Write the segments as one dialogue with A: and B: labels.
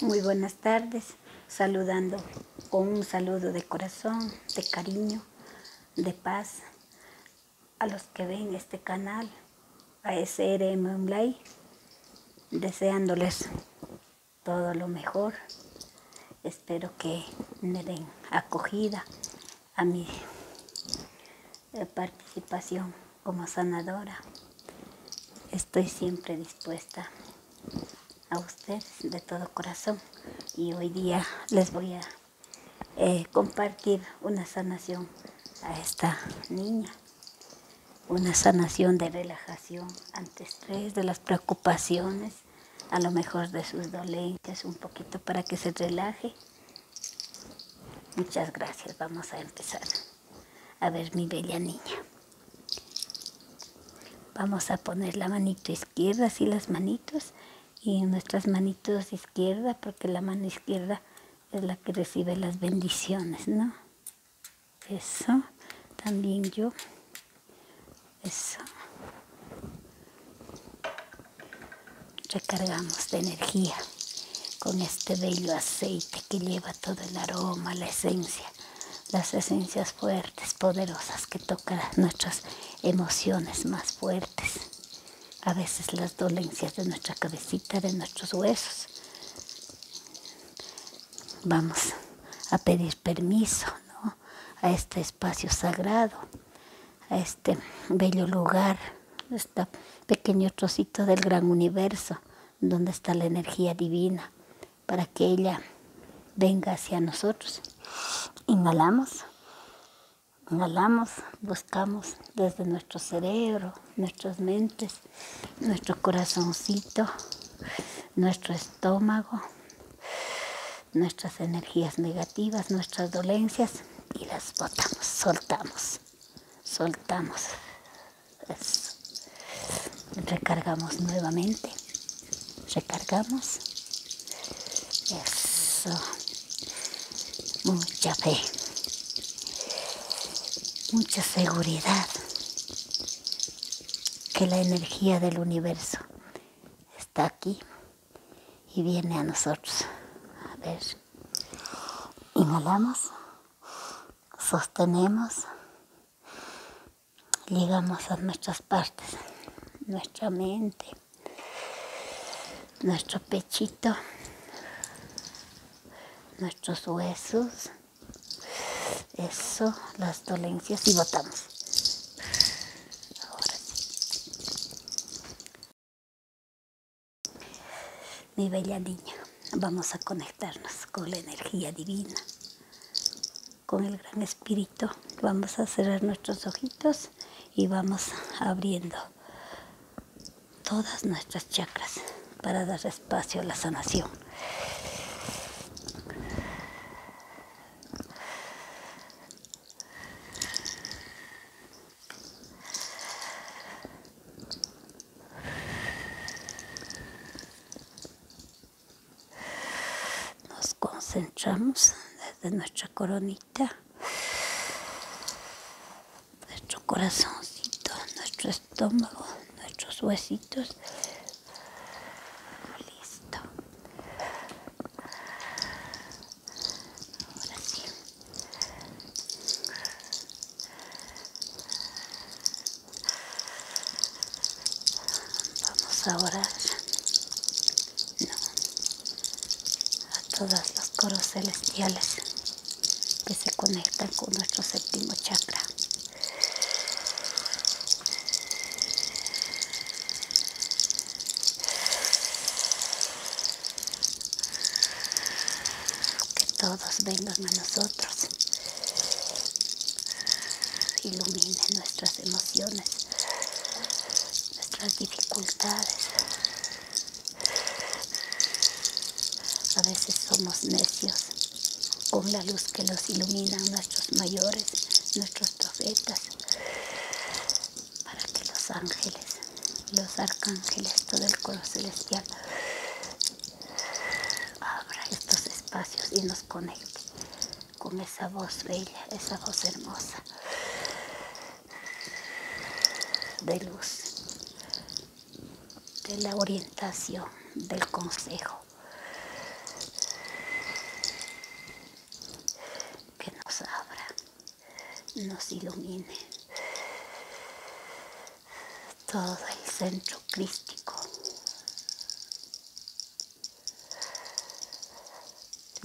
A: Muy buenas tardes, saludando con un saludo de corazón, de cariño, de paz a los que ven este canal, a SRM Unlay deseándoles todo lo mejor. Espero que me den acogida a mi eh, participación como sanadora. Estoy siempre dispuesta a ustedes de todo corazón y hoy día les voy a eh, compartir una sanación a esta niña, una sanación de relajación ante estrés, de las preocupaciones, a lo mejor de sus dolencias, un poquito para que se relaje. Muchas gracias, vamos a empezar. A ver, mi bella niña. Vamos a poner la manito izquierda, así las manitos, y nuestras manitos izquierda, porque la mano izquierda es la que recibe las bendiciones, ¿no? Eso, también yo. Eso. Recargamos de energía con este bello aceite que lleva todo el aroma, la esencia las esencias fuertes, poderosas que tocan nuestras emociones más fuertes, a veces las dolencias de nuestra cabecita, de nuestros huesos. Vamos a pedir permiso a este espacio sagrado, a este bello lugar, este pequeño trocito del gran universo dónde está la energía divina para que ella venga hacia nosotros. Inhalamos, inhalamos, buscamos desde nuestro cerebro, nuestras mentes, nuestro corazoncito, nuestro estómago, nuestras energías negativas, nuestras dolencias y las botamos, soltamos, soltamos, eso. Recargamos nuevamente. Recargamos. Eso. Mucha fe. Mucha seguridad. Que la energía del universo está aquí y viene a nosotros. A ver. Inhalamos sostenemos, llegamos a nuestras partes, nuestra mente, nuestro pechito, nuestros huesos, eso, las dolencias y botamos mi bella niña. Vamos a conectarnos con la energía divina, con el gran espíritu. Vamos a cerrar nuestros ojitos y vamos abriendo todas nuestras chakras para dar espacio a la sanación. Nos concentramos desde nuestra coronita, nuestro corazoncito, nuestro estómago, nuestros huesitos. Listo. Ahora Vamos a orar a todas las coros celestiales que se conectan con nuestro séptimo chakra que todos vengan a nosotros, iluminen nuestras emociones, nuestras dificultades. A veces somos necios con la luz que los iluminan nuestros mayores, nuestros profetas, para que los ángeles, los arcángeles, todo el coro celestial abra estos espacios y nos conecte con esa voz bella, esa voz hermosa de luz, de la orientación, del consejo que nos abra, nos ilumine todo el centro crístico.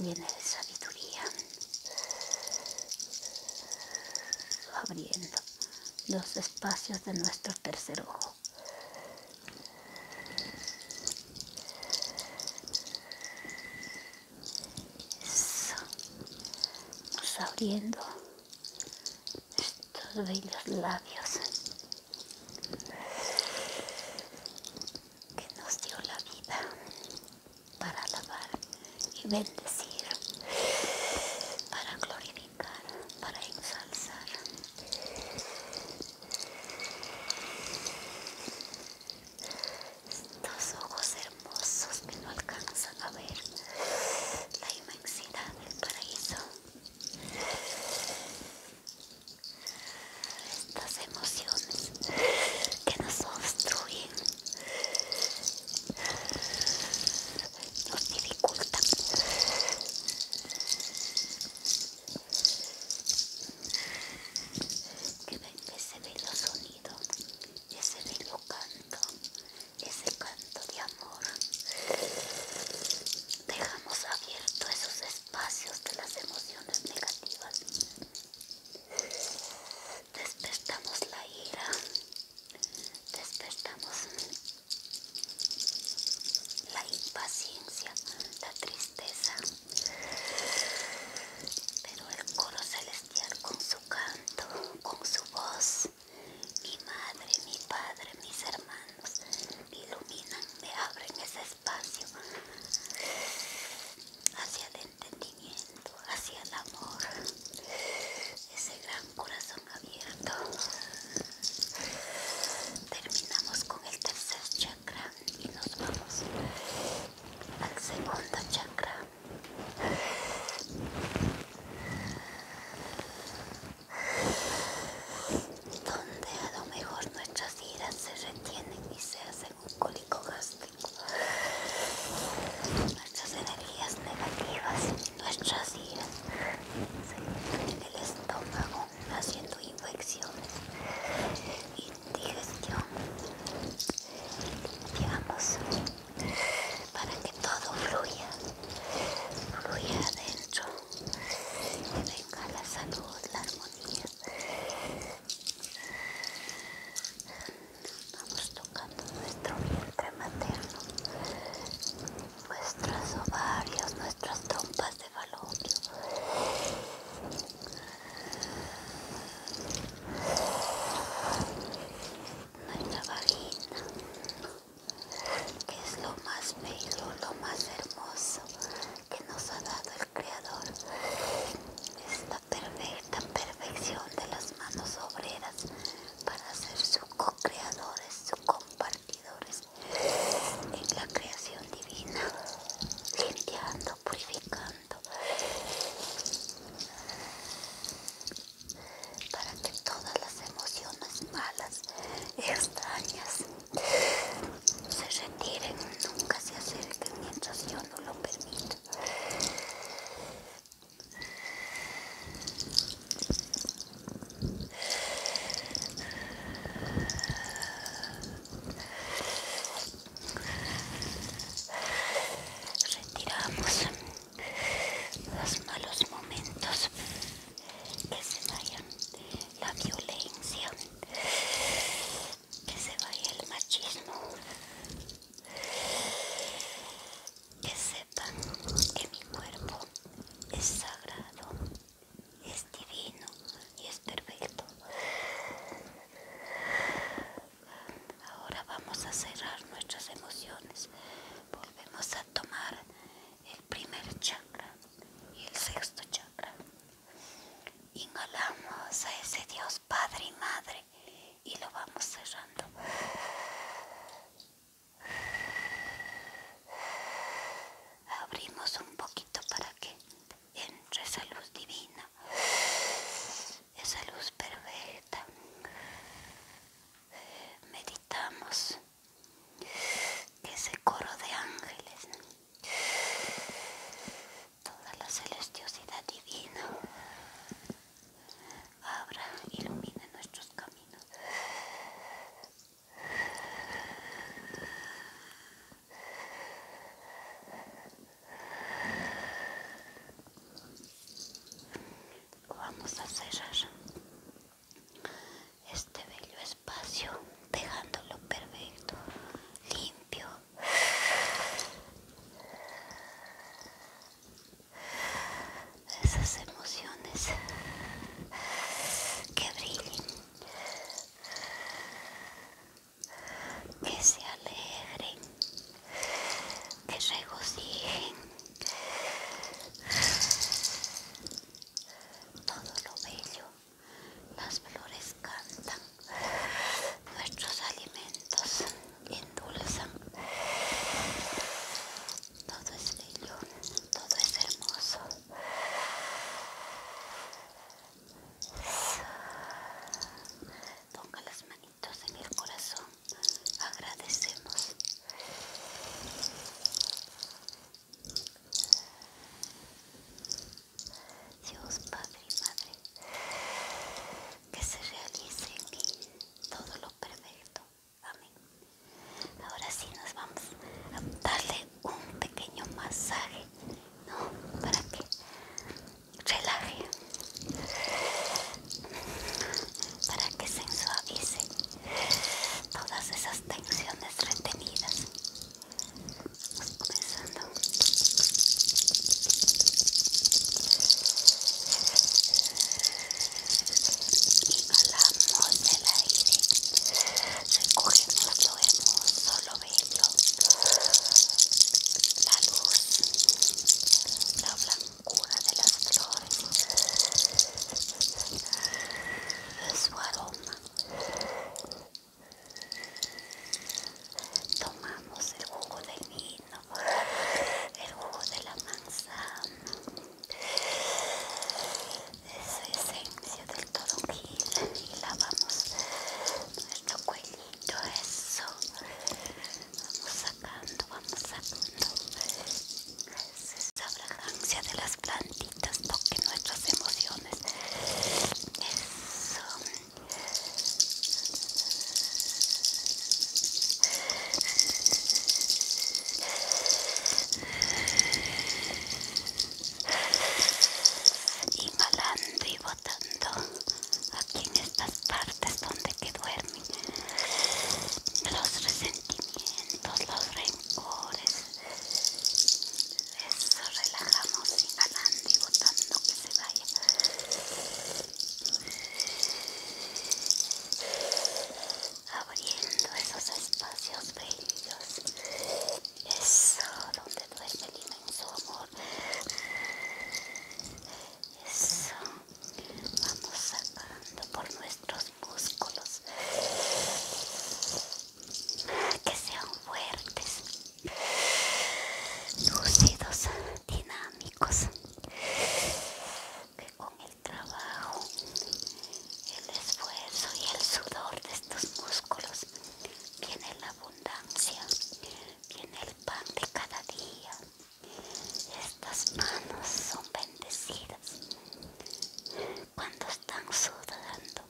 A: viene de sabiduría, abriendo los espacios de nuestro tercer ojo. Eso. abriendo estos bellos labios que nos dio la vida para alabar y bendecir, para glorificar, para ensalzar. Estos ojos hermosos que no alcanzan a ver la inmensidad del paraíso. Estas emociones que nos obstruyen, nos dificultan. Que ven que se ve los sonidos, y se ve lo ese canto de amor. Dejamos abierto esos espacios de las emociones negativas. Despertamos la ira. Despertamos la impaciencia, la tristeza. Pero el coro celestial con su canto, con su voz, mi madre, mi padre, mis hermanos iluminan, me abren ese espacio hacia el entendimiento, hacia el amor, ese gran corazón abierto. Terminamos con el tercer chakra y nos vamos al segundo chakra donde a lo mejor nuestras iras se retienen y se hacen un cólico gástrico. Nuestras energías negativas, nuestras iras se en el estómago haciendo infecciones, indigestión para que todo fluya, fluya adentro, que venga la salud, la armonía. Vamos tocando nuestro vientre materno, nuestros ovarios, nuestras trompas de falopio nuestra vagina, que es lo más bello, lo más hermoso que nos ha dado el Creador. Esta perfecta perfección de las manos obreras para ser sus co-creadores, sus compartidores en la creación divina, limpiando, purificando para que todas las emociones malas, extrañas, se retiren, nunca se acerquen mientras yo no lo permito. Retiramos los malos momentos que se vaya la violencia que se vaya el machismo que sepan que mi cuerpo es sagrado es divino y es perfecto Ahora vamos a cerrar nuestras emociones. Volvemos a tomar el primer chakra y el sexto chakra. Inhalamos a ese Dios Padre y Madre y lo vamos cerrando. Abrimos un poquito para que entre esa luz divina esa luz perfecta. Eh, meditamos que ese coro de ángeles, toda la celestiosidad divina abra, ilumine nuestros caminos vamos a cerrar este bello espacio dejándolo perfecto, limpio. Esas emociones que brillen, que se alegren que regocijen, todo lo bello, las flores cantan, nuestros alimentos endulzan, todo es bello, todo es hermoso. Ponga las manitas entonces en el corazón. Agradecemos. Dios Padre y Madre, que se realice en mí todo lo perfecto. Amén. Ahora sí nos vamos a darle un pequeño masaje, ¿no? Para que relaje para que se ensuavice todas esas tensiones retenidas Vamos comenzando inhalamos el aire recogemos lo hermoso lo vemos la luz la blanca cura de las flores, su aroma. Tomamos el jugo del vino, el jugo de la manzana, esa esencia del toronjil y lavamos nuestro cuellito, eso. Vamos sacando, vamos sacando esa fragancia de las plantitas, toque nuestras emociones. Eso. Inhalando y botando aquí en estas partes donde que duerme los resentimientos, los rencores. Eso, relajamos inhalando y botando que se vaya. Abriendo esos espacios bellos. Eso, donde duerme el inmenso amor. Eso vamos sacando por nuestros músculos que sean fuertes lúcidos dinámicos que con el trabajo el esfuerzo y el sudor de estos músculos viene la abundancia viene el pan de cada día estas manos son bendecidas cuando están sudando,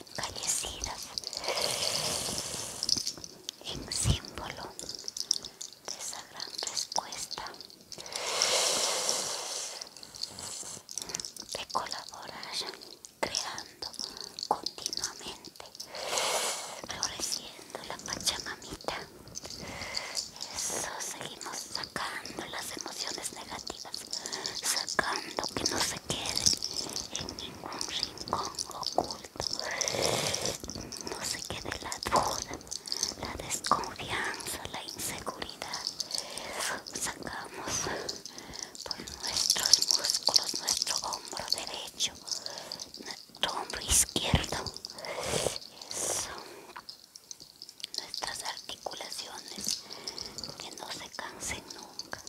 A: encallecidas en símbolo de esa gran respuesta de colaborar creando continuamente floreciendo la pachamamita. Eso, seguimos sacando las emociones negativas, sacando que no se quede en ningún rincón oculto, no se quede la duda, la desconfianza, la inseguridad. Sacamos por nuestros músculos, nuestro hombro derecho, hombro izquierdo. son Nuestras articulaciones que no se cansen nunca.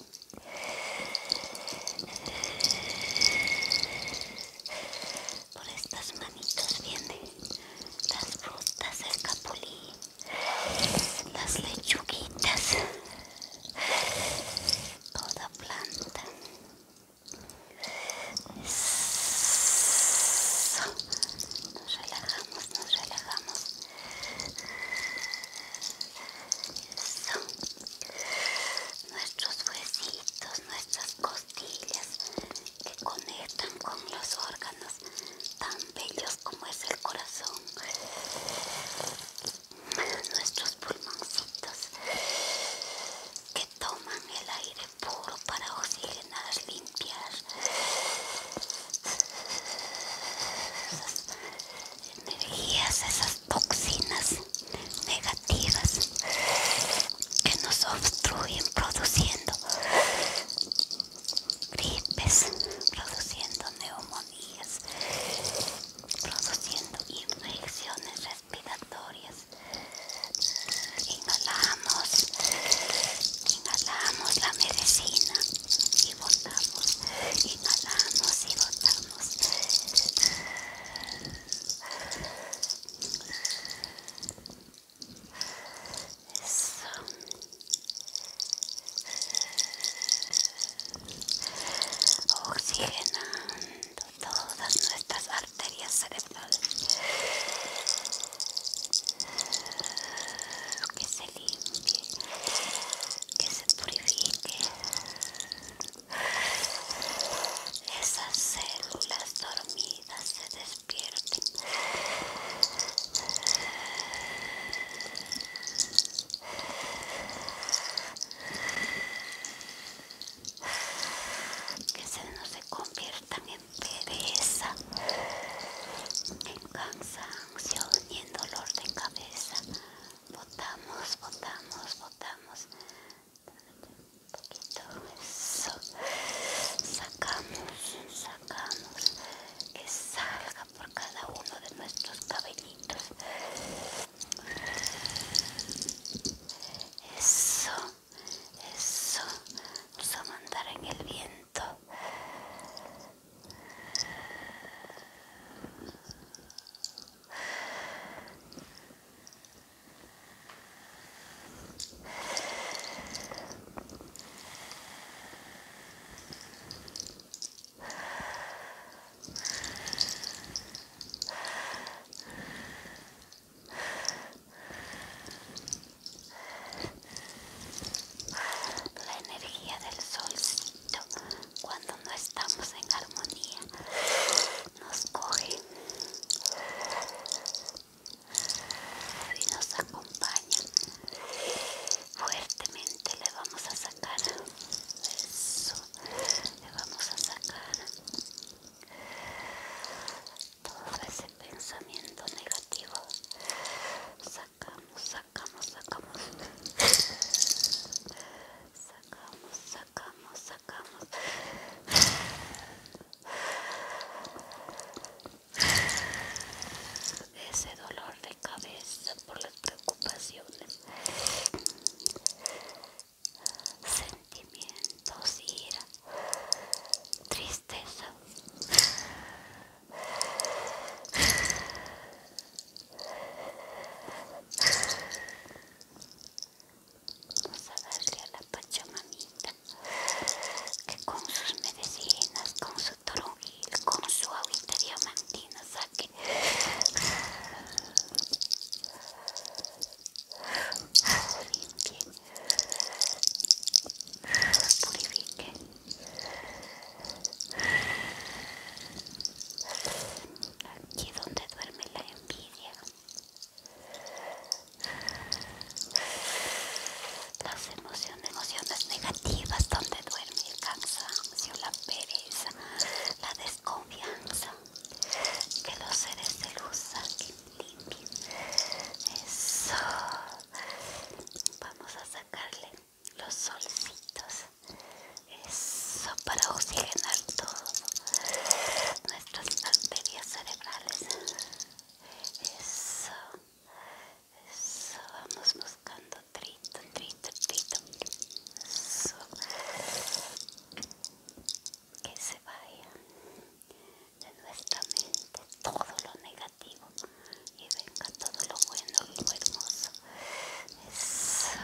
A: Por estas manitos vienen las frutas, del capulí las lechuguitas, toda planta nos relajamos, nos relajamos. Nuestros huesitos, nuestras costillas que conectan con los órganos tan bellos como es el corazón nuestros pulmoncitos que toman el aire puro para oxigenar, limpiar esas energías, esas toxinas negativas que nos obstruyen produciendo gripes, produciendo neumonías, produciendo infecciones respiratorias. Inhalamos, inhalamos la medicina y botamos, inhalamos y botamos. Eso. Oxigenando, todas nuestras arterias cerebrales que se limpie que se purifique esas células dormidas se despierten que se no se conviertan en pereza, en cansancio y en dolor de cabeza. Votamos, votamos, votamos. Un poquito eso. Sacamos, sacamos. Que salga por cada uno de nuestros cabellitos. Eso, eso. Vamos a mandar en el viento la energía del solcito cuando no estamos en armonía nos coge y nos acompaña fuertemente le vamos a sacar eso le vamos a sacar todo ese pensamiento negativo sacamos sacamos sacamos sacamos sacamos sacamos ese dolor de cabeza por las preocupaciones sentimientos, ira, tristeza. Vamos a darle a la Pachamamita que con sus medicinas, con su toronjil, con su agüita diamantina saque purifique. Aquí donde duerme la envidia, las emociones, emociones negativas, donde duerme el cansancio la pereza, la desconfianza que los seres de luz Eso. Vamos a sacarle los solcitos. Eso para oxigenar todo nuestras arterias cerebrales. Eso. Eso. Vamos buscando tritos que se vaya de nuestra mente todo lo negativo y venga todo lo bueno y lo hermoso. Eso.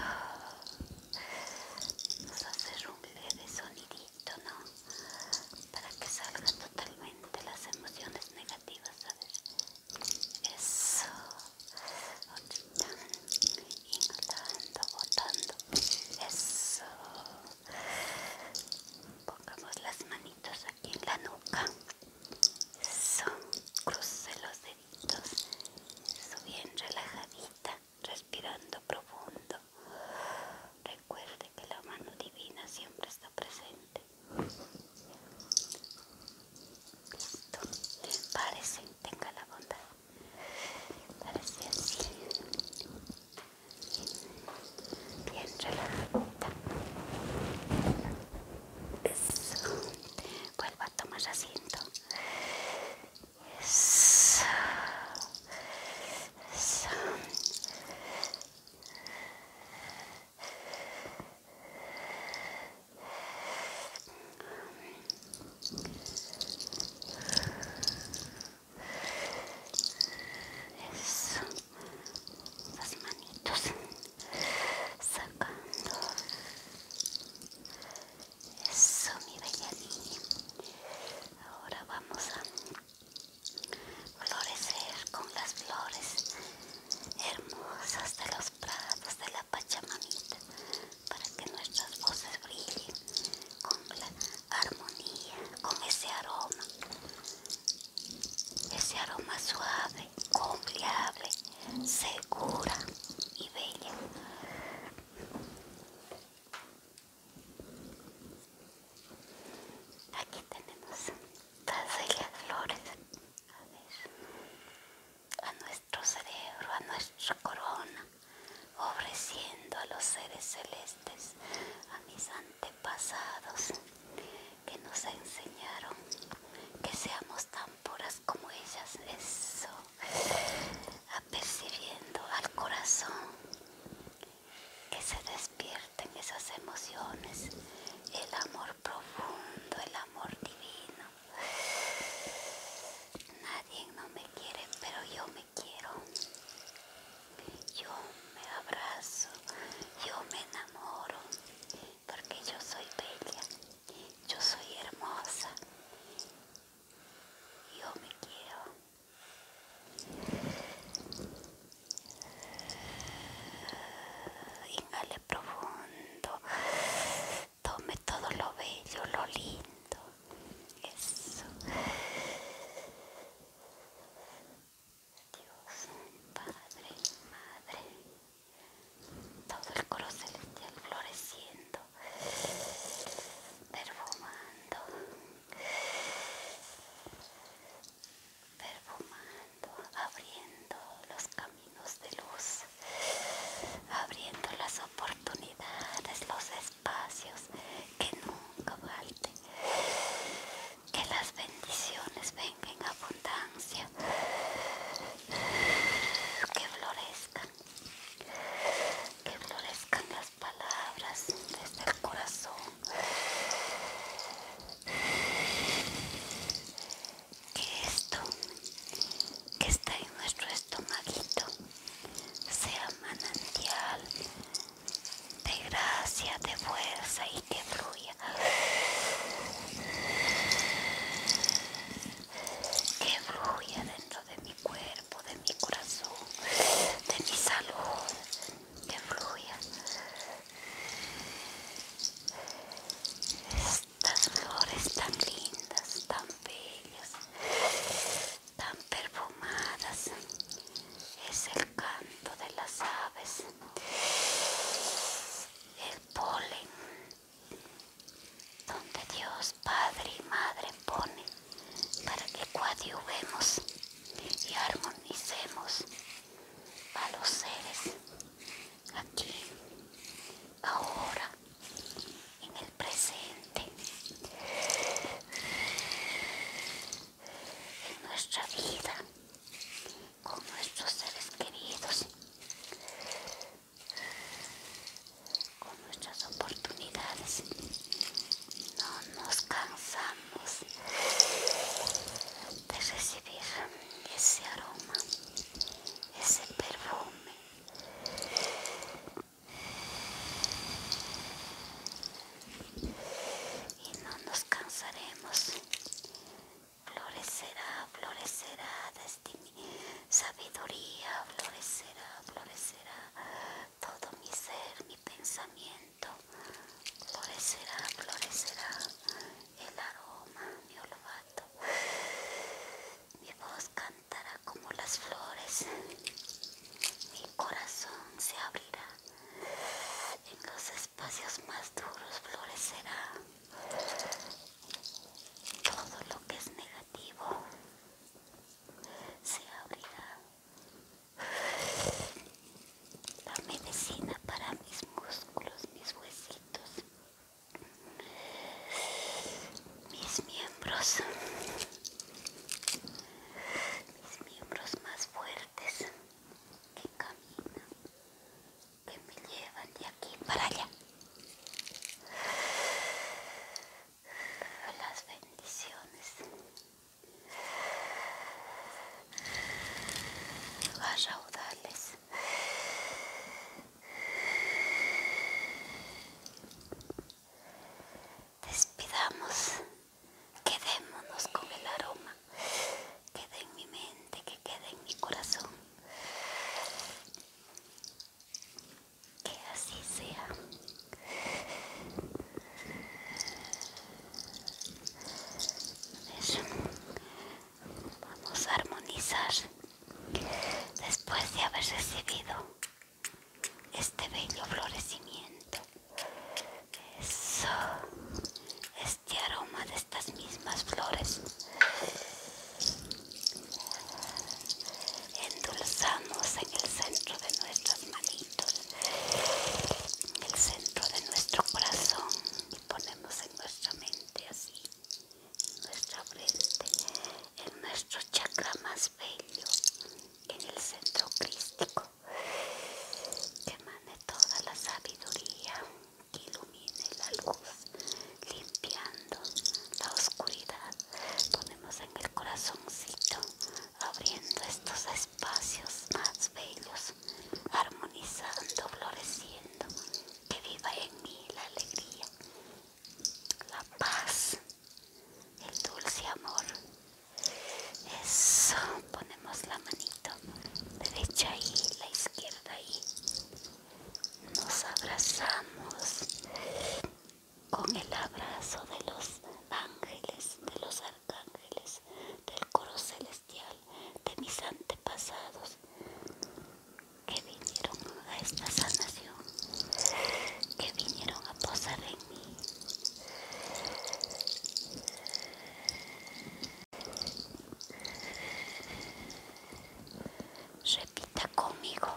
A: Vamos a hacer un leve sonidito, ¿no? Para que salgan totalmente las emociones negativas, Eso inhalando, botando. Eso. Pongamos las manitos aquí en la nuca. Son Cruce los deditos. Eso bien relajadita, respirando profundo. Recuerde que la mano divina siempre está presente. Listo. Parece, tenga la bondad. Parece así. Bien, a tomar asiento. Eso. Las manitos sacando. Eso, mi bella niña. Ahora vamos a florecer con las flores hermosas de los de la Pachamamita para que nuestras voces brillen con la armonía, con ese aroma, ese aroma suave, confiable, segura y bella. Aquí tenemos todas las flores. A ver a nuestro cerebro, a nuestra corona, ofreciendo a los seres celestes, a mis antepasados que nos enseñaron que seamos tan puras como ellas. Eso, apercibiendo al corazón que se despierten esas emociones, el amor profundo, el amor divino Nadie no me quiere, pero yo me quiero. Yo me abrazo, yo me enamoro, porque yo soy bella, yo soy hermosa. Yo me quiero. Inhale profundo tome todo lo bello, lo lindo. Eso. Dios, Padre, Madre, todo el coro celestial floreciendo, perfumando, perfumando, abriendo los caminos de luz, abriendo las oportunidades, los espacios que nunca falten, que las bendiciones vengan en abundancia, que florezcan, que florezcan las palabras desde el corazón que esto que está en nuestro estomaguito sea manantial de gracia, de fuerza y que fluya. Que fluya dentro de mi cuerpo, de mi corazón, de mi salud, que fluya estas flores tan lindas, tan bellas, tan perfumadas. Es el canto de las aves, el polen, donde Dios Padre y Madre pone para que coadyuvemos y armonicemos a los seres aquí, ahora, en el presente, en nuestra vida, con nuestros seres queridos, con nuestras oportunidades. No nos cansamos de recibir ese aroma ese perfume y no nos cansaremos florecerá florecerá sabiduría florecerá florecerá todo mi ser mi pensamiento florecerá florecerá el aroma, mi olfato. Mi voz cantará como las flores. Mi corazón se abrirá. En los espacios más duros florecerá. Todo lo que es negativo se abrirá. La medicina para mis músculos, mis huesitos, mis miembros mis miembros más fuertes que caminan que me llevan de aquí para allá las bendiciones a raudales Despidamos, quedémonos con el aroma, quede en mi mente, que quede en mi corazón. Que así sea vamos a armonizar después de haber recibido este bello florecimiento eso este aroma de estas mismas flores endulzamos en el centro de nuestras manitos en el centro de nuestro corazón y ponemos en nuestra mente así en nuestra frente, en nuestro chakra más bello, en el centro crístico, que mane toda la sabiduría, que ilumine la luz, limpiando la oscuridad. Ponemos en el corazoncito, abriendo estos espacios más bellos, armonizando, floreciendo que viva en mí la alegría, la paz, el dulce amor. Eso, ponemos la manito derecha ahí, la izquierda ahí. Nos abrazamos con el abrazo de los ángeles, de los arcángeles, del coro celestial, de mis antepasados que vinieron a esta sanación, que vinieron a posar en mí. Repita conmigo.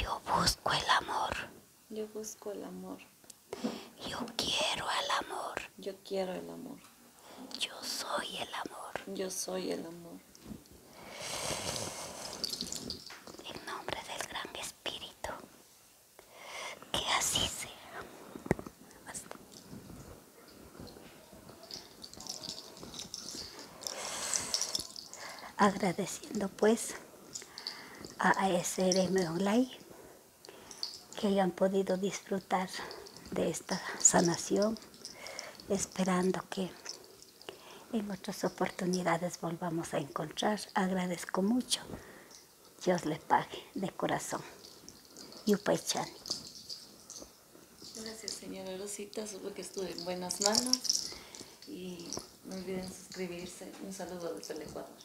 A: Yo busco el amor. Yo busco el amor. Yo quiero el amor. Yo quiero el amor. Yo soy el amor. Yo soy el amor. En nombre del Gran Espíritu. Que así sea. Agradeciendo pues a ASRM Online que hayan podido disfrutar de esta sanación, esperando que en otras oportunidades volvamos a encontrar. Agradezco mucho. Dios le pague de corazón. Yupaychani. Gracias, señora Rosita. Supo que estuve en buenas manos. Y no olviden suscribirse. Un saludo desde el Ecuador.